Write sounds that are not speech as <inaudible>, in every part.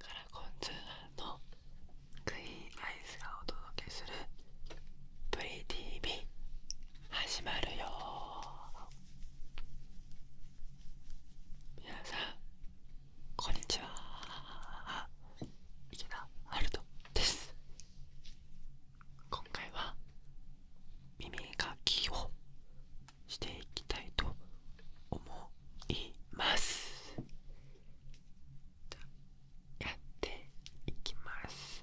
カラコン通のクイーンアイスがお届けする「プリ t 始まるよ皆さんこんにちは池田春人です今回は耳かきをしていきたいと思いますやっていきます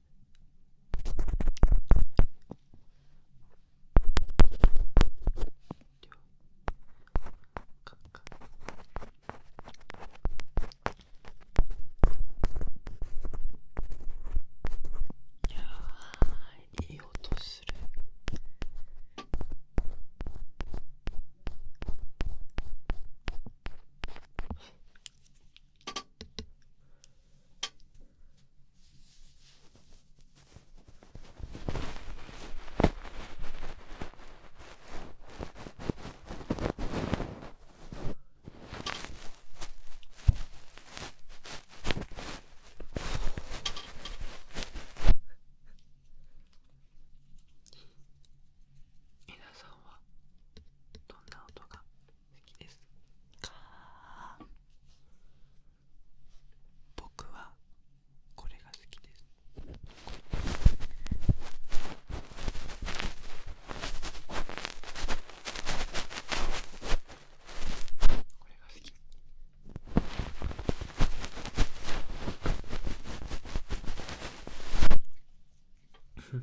いやいい音する皆さんはどんな音がきです僕はこれが好きですこれが好き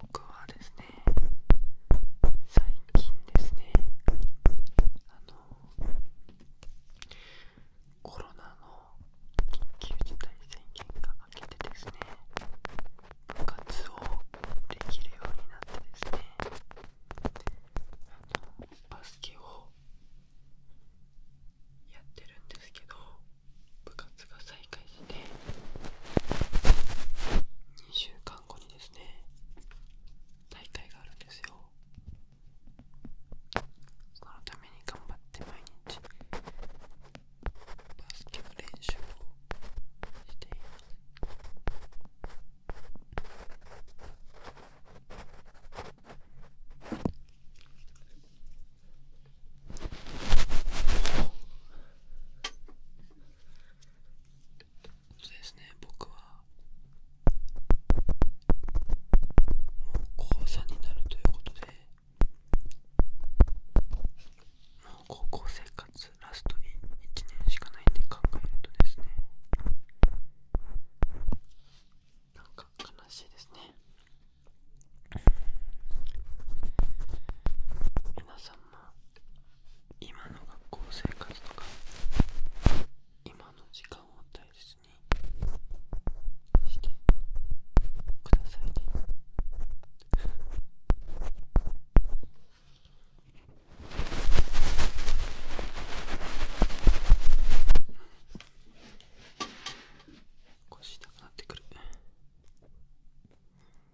僕はですね最近ですねあのコロナの緊急事態宣言が明けてですね部活をできるようになってですねあのバスケをやってるんですけど部活2週間後にですね大会があるんですよそのために頑張って毎日バスケの練習をしていますそうですね僕はもう高3になるということでもう高校生活ラスト1年しかないんで考えるとですねなんか悲しいですね皆さんも今の学校生活とか今の時間を大切にしてくださいね腰痛くなってくる。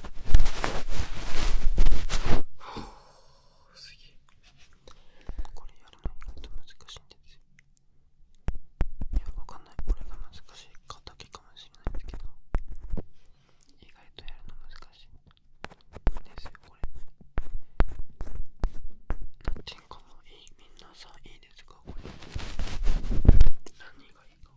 すげえこれやるの意外と難しいんですよいやわかんない俺が難しいかだけかもしれないんですけど意外とやるの難しいですよこれなんていうかもいいみんなさいいですかこれ何がいいか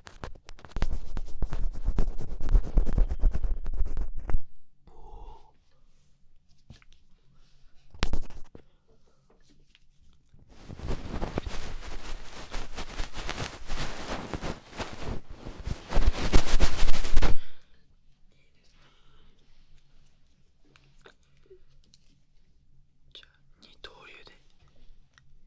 じゃあ二刀流で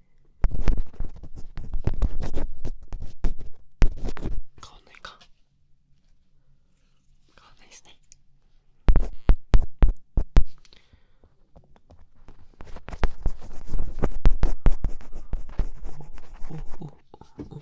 変わんないか変わんないですねおおおお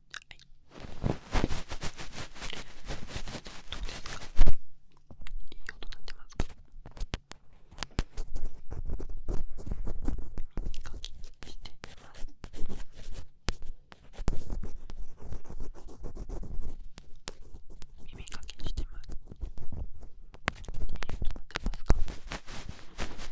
はいどうですかいい音鳴ってますか耳かきしてます耳かきしてますいい音鳴ってますか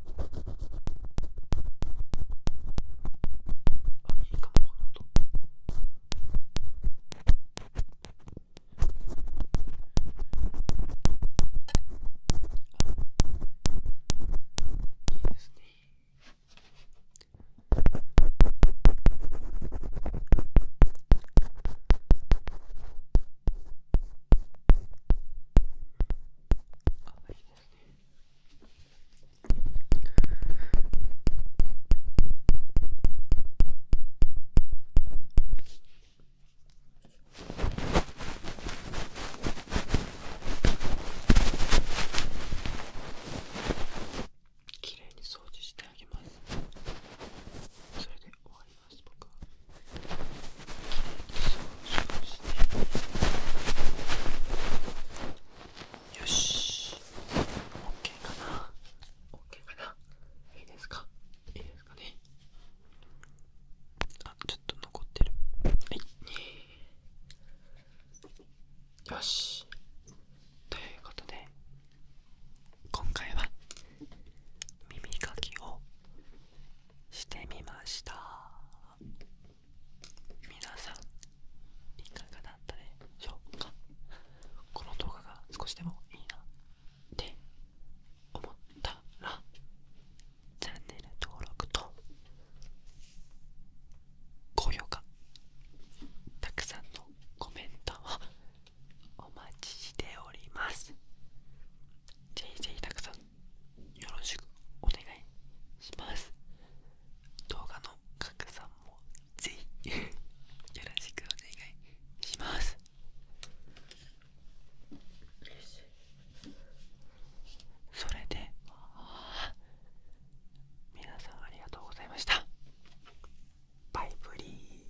いいかもこの音いいですねあいいですねきれいに掃除してあげますそれで終わりますとかよし OK かな OK かないいですかいいですかねあちょっと残ってるはいよしということで今回は耳かきをしてみました皆さんいかがだったでしょうかこの動画が少しでもいいなって思ったらチャンネル登録と高評価たくさんのコメントをお待ちしておりますぜひぜひたくさんよろしくお願いします動画の拡散もぜひ <laughs> よろしくお願いしますそれで皆さんありがとうございましたバイブリー